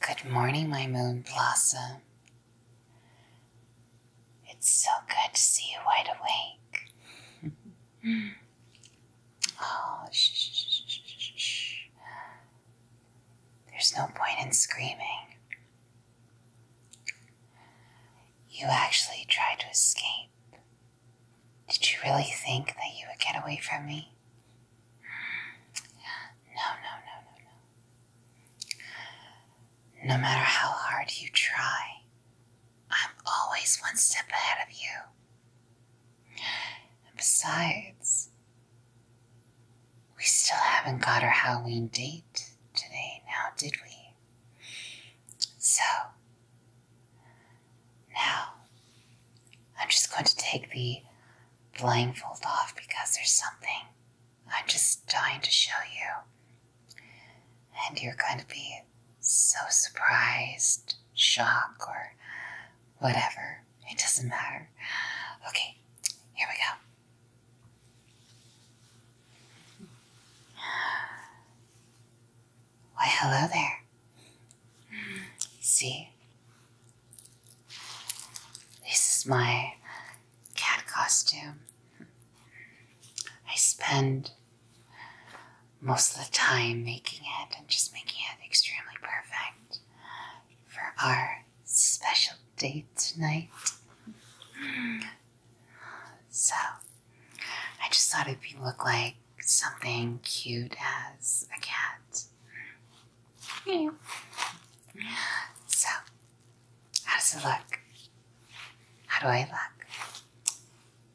Good morning, my moon blossom. It's so good to see you wide awake. oh, shh, There's no point in screaming. You actually tried to escape. Did you really think that you would get away from me? No, no, no, no, no. No matter how hard you try, I'm always one step ahead of you. And besides, we still haven't got our Halloween date today now, did we? So, now I'm just going to take the blindfold off because there's something I'm just dying to show you. And you're going to be so surprised, shocked, or whatever. It doesn't matter. Okay, here we go. Why, hello there. See, this is my cat costume. I spend most of the time making it and just making it extremely perfect for our special date tonight. So, I just thought it'd be look like something cute as a cat. Yeah. So, how does it look? How do I look?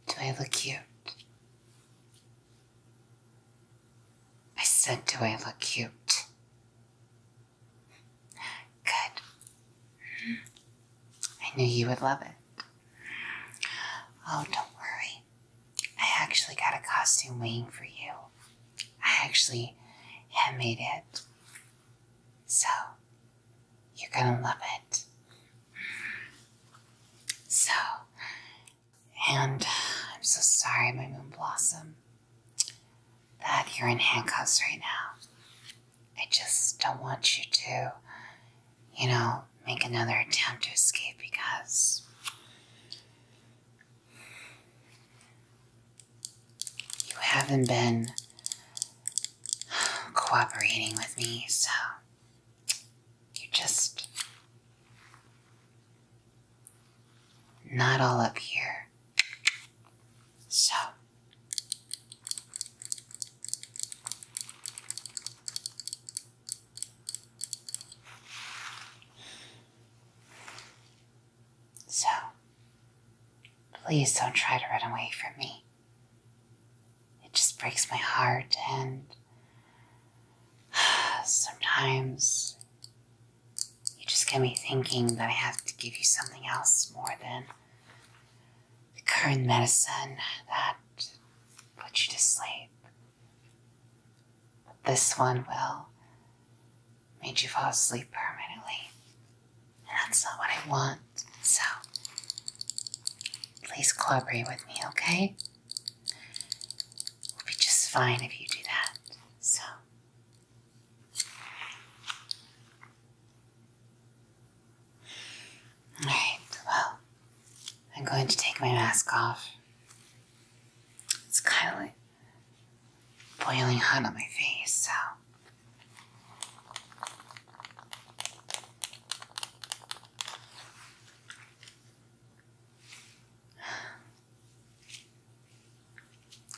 Do I look cute? I said, do I look cute? Good. I knew you would love it. Oh, don't worry. I actually got a costume waiting for you. I actually handmade it. So, you're gonna love it. So, and I'm so sorry, my moon blossom, that you're in handcuffs right now. I just don't want you to, you know, make another attempt to escape because you haven't been cooperating with me, so you're just not all up here. So. So, please don't try to run away from me. It just breaks my heart, and sometimes you just get me thinking that I have to give you something else more than the current medicine that puts you to sleep this one will make you fall asleep permanently. And that's not what I want. So please cooperate with me, okay? We'll be just fine if you do that. So Alright, well, I'm going to take my mask off. It's kind of like boiling hot on my face, so.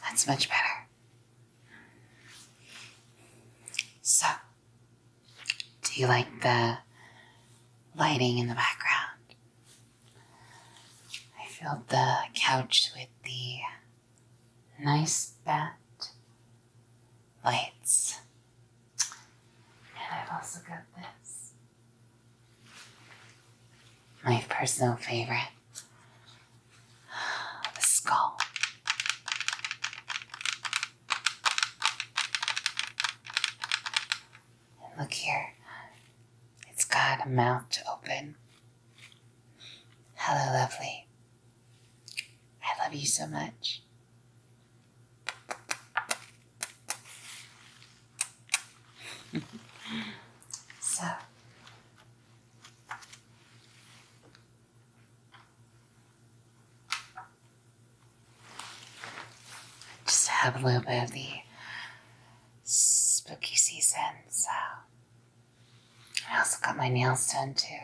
That's much better. So, do you like the lighting in the background? I filled the couch with the nice bat lights. And I've also got this. My personal favorite. The skull. And look here, it's got a mouth to open. Hello, lovely. I love you so much. so, just have a little bit of the spooky season, so. I also got my nails done too.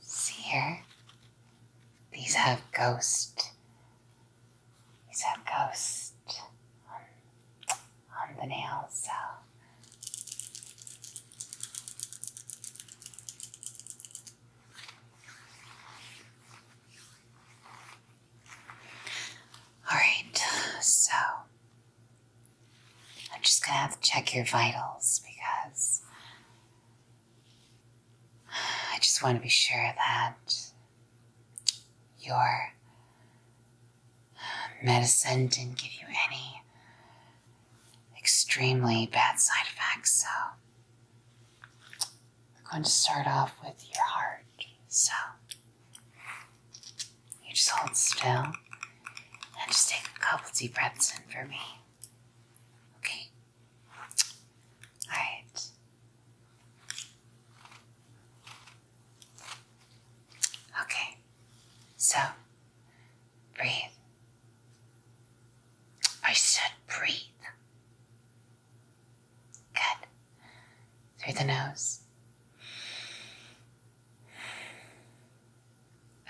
See here? These have ghost. These have ghost on, on the nails, so. All right, so I'm just gonna have to check your vitals because I just want to be sure that your um, medicine didn't give you any extremely bad side effects. So we're going to start off with your heart. So you just hold still and just take a couple deep breaths in for me. Okay? Alright. Okay. So breathe. I said breathe. Good. Through the nose.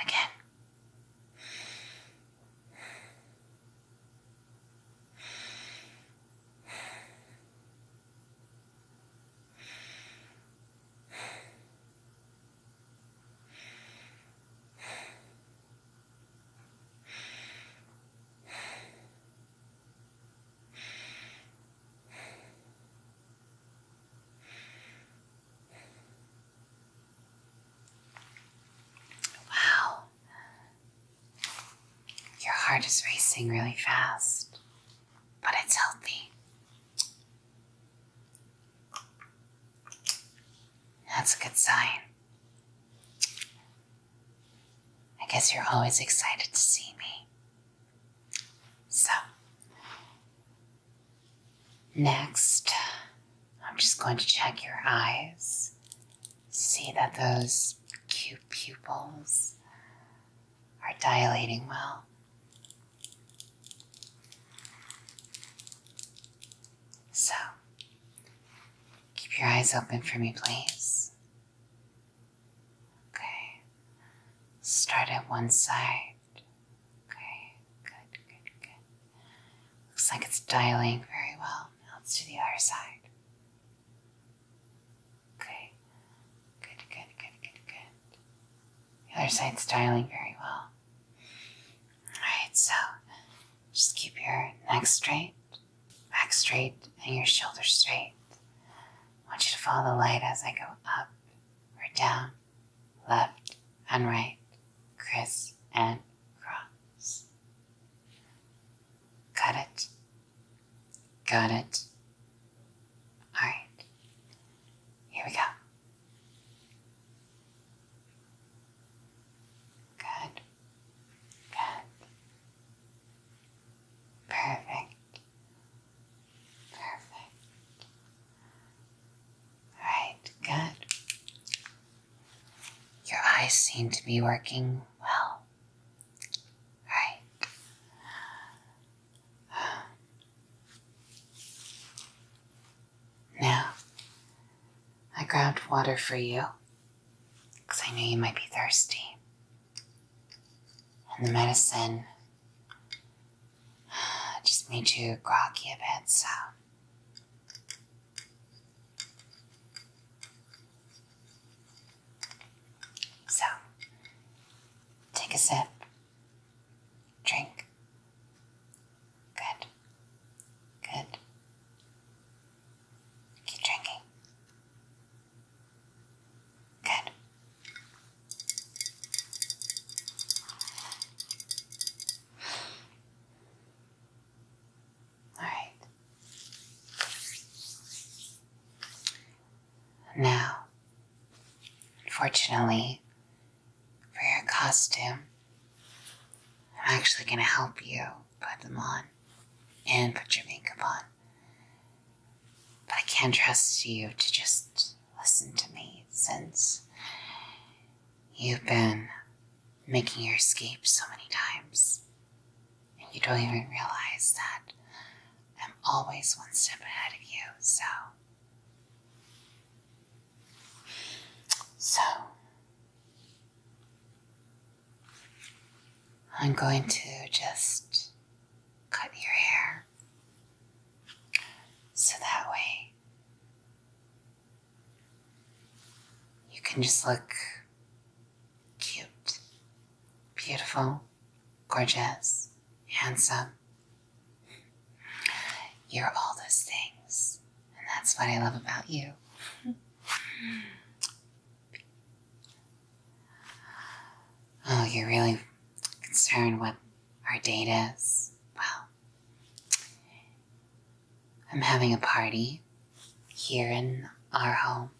Again. Wow. Your heart is racing really fast, but it's healthy. That's a good sign. I guess you're always excited to see me. So, next, I'm just going to check your eyes. See that those cute pupils are dilating well. So, Keep your eyes open for me, please. Okay. Start at one side. Okay, good, good, good. Looks like it's dialing very well. Now let's do the other side. Okay, good, good, good, good, good. The other side's dialing very well. Alright, so just keep your neck straight, back straight, and your shoulders straight. I want you to follow the light as I go up or down, left and right, criss and cross. Got it? Got it? Alright, here we go. Good. Good. Perfect. Perfect. Alright, good. Your eyes seem to be working well. Right. Um, now, I grabbed water for you because I knew you might be thirsty. And the medicine just made you groggy a bit, So, take a sip, drink, Good. Good. Keep drinking. Good. All right. Now, unfortunately, for your costume, I'm actually going to help you put them on and put your makeup on. But I can't trust you to just listen to me since you've been making your escape so many times. And you don't even realize that I'm always one step ahead of you, so so, I'm going to just cut your hair so that way you can just look cute, beautiful, gorgeous, handsome. You're all those things and that's what I love about you. oh, you're really concerned with our date is? Well, I'm having a party here in our home.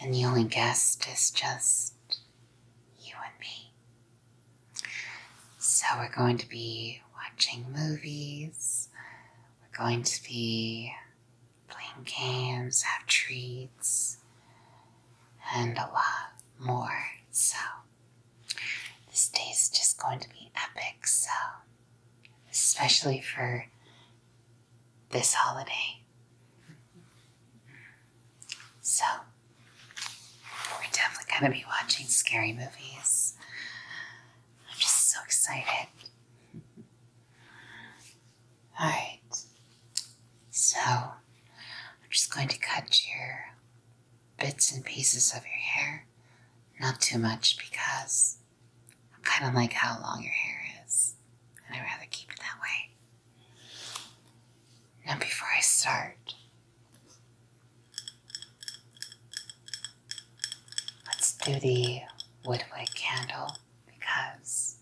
And the only guest is just you and me. So, we're going to be watching movies, we're going to be playing games, have treats, and a lot more. So, this day is just going to be epic. So, especially for this holiday. So, we're definitely going to be watching scary movies. I'm just so excited. Alright, so I'm just going to cut your bits and pieces of your hair. Not too much because I am kind of like how long your hair is, and I'd rather keep it that way. Now, before I start, Let's do the woodwick candle because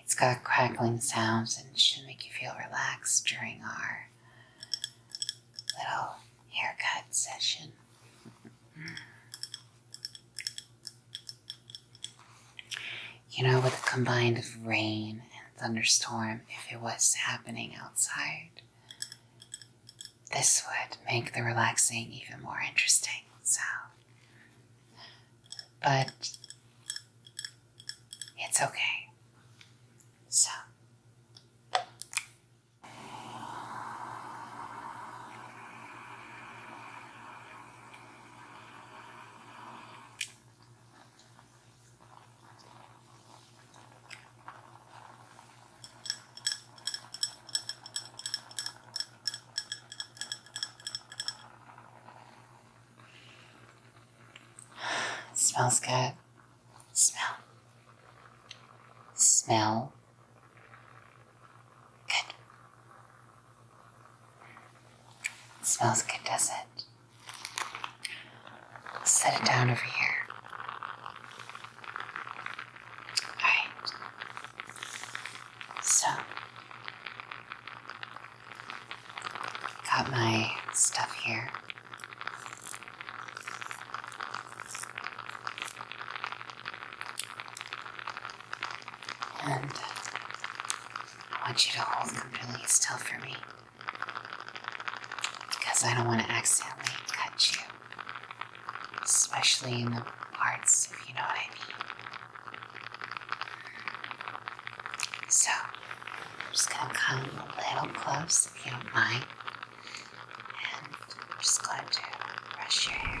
it's got crackling sounds and should make you feel relaxed during our little haircut session. You know, with a combined of rain and thunderstorm, if it was happening outside, this would make the relaxing even more interesting. So, but it's okay. So, smells good. Smell. Smell. Good. It smells good, does it? set it down over here. Alright. So, got my stuff here. And I want you to hold completely still for me because I don't want to accidentally cut you, especially in the parts, if you know what I mean. So, I'm just going to come a little close if you don't mind, and I'm just going to brush your hair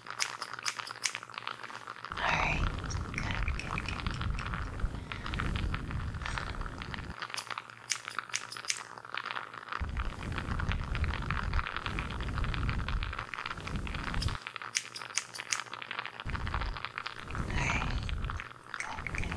Alright, good, good, good. Alright, good, good.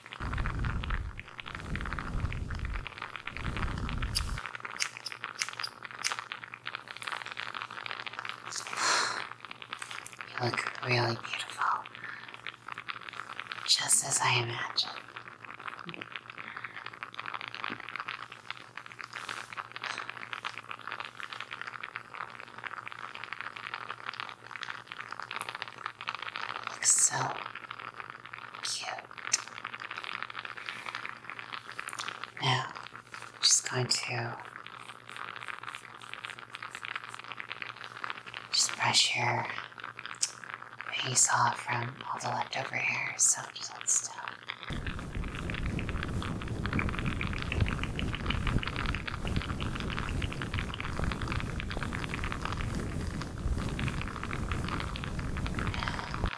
You look really beautiful. Just as I imagined. Looks so cute. Now, just going to just brush your face off from all the leftover hair, so just let hold still.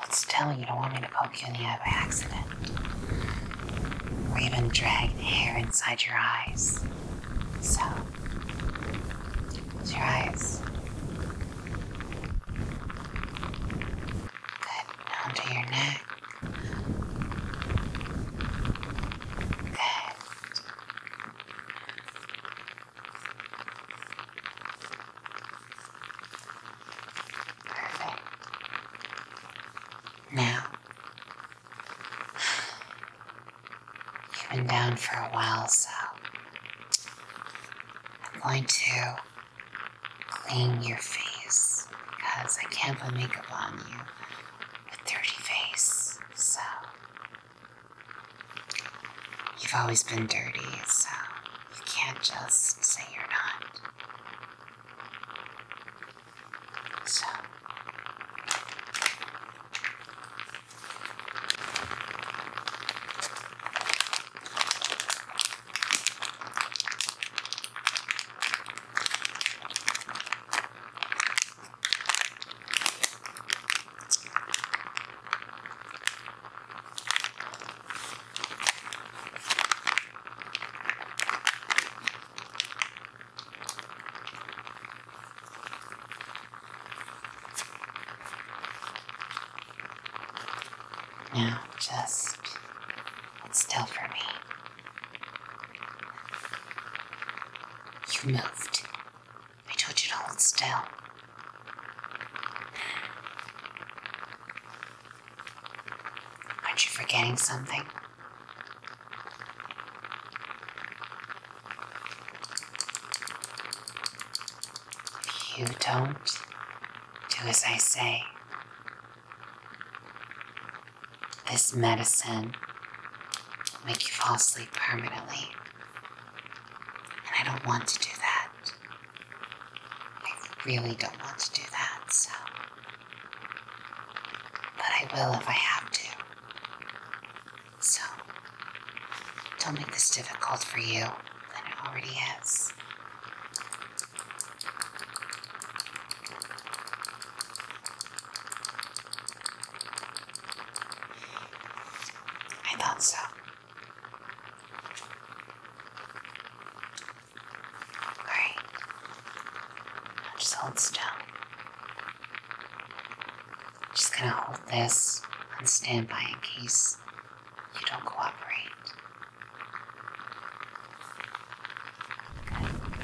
Let's tell you don't want me to poke you in the eye by accident. Or even drag the hair inside your eyes. So, close your eyes. Good. Now to your neck. Good. Perfect. Now, you've been down for a while, so I'm going to clean your face because I can't put makeup on you with dirty face. So You've always been dirty, so you can't just say you're not. So. Now just still for me. You moved. I told you to hold still. Aren't you forgetting something? you don't do as I say, this medicine will make you fall asleep permanently. And I don't want to do that. I really don't want to do that, so. But I will if I have to. So, don't make this difficult for you it already is. I thought so. Alright. just hold still. Just gonna hold this on standby in case you don't cooperate. Okay.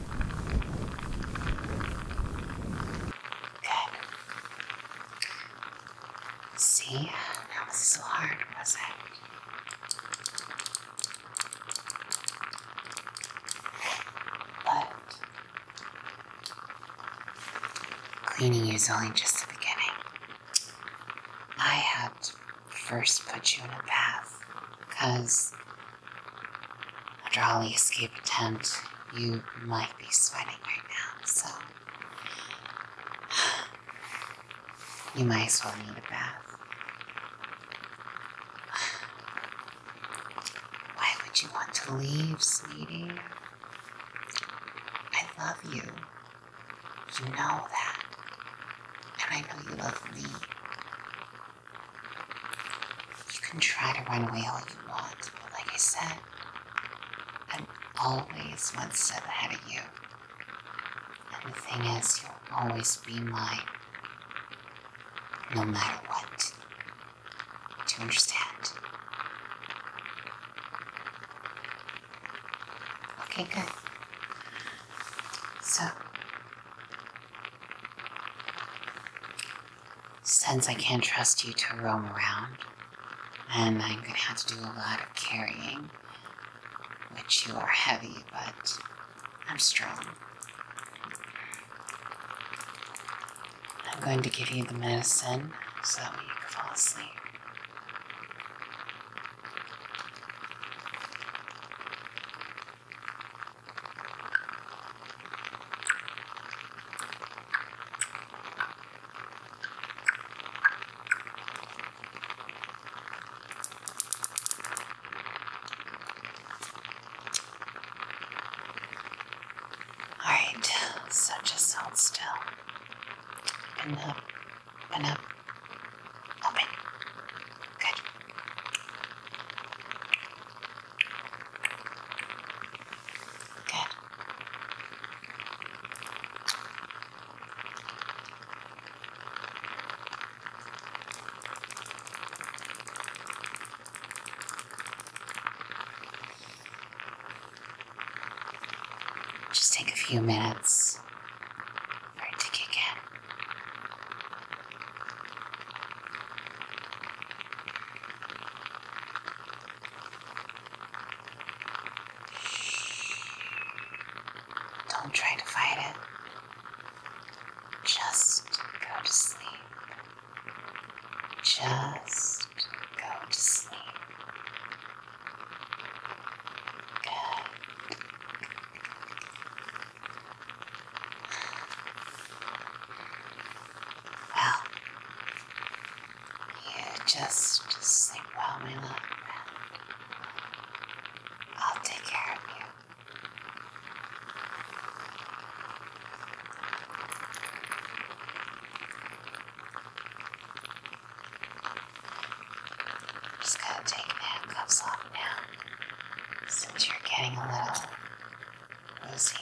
Good. See, that was so hard, was it? But cleaning is only just the beginning. I had to first put you in a bath because all, the escape attempt, you might be sweating right now, so you might as well need a bath. Why would you want to leave, sweetie? I love you. You know that. And I know you love me. You can try to run away all you want, but like I said, I'm always one step ahead of you. And the thing is, you'll always be mine, no matter what. Do you understand? Okay, good. So, since I can't trust you to roam around, and I'm gonna have to do a lot of carrying, which you are heavy, but I'm strong. I'm going to give you the medicine so that you can fall asleep. All right, so just hold still. Open up, Open. Good. Good. Just take a few minutes chance for it to kick in. Don't try to fight it. Just go to sleep. Just go to sleep. Good. Well, you just sleep well, my little I'll take care of you. Just gotta take the handcuffs off now, since you're getting a little woozy. On the side.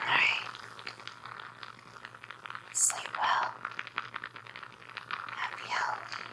Alright. Sleep well. Happy health.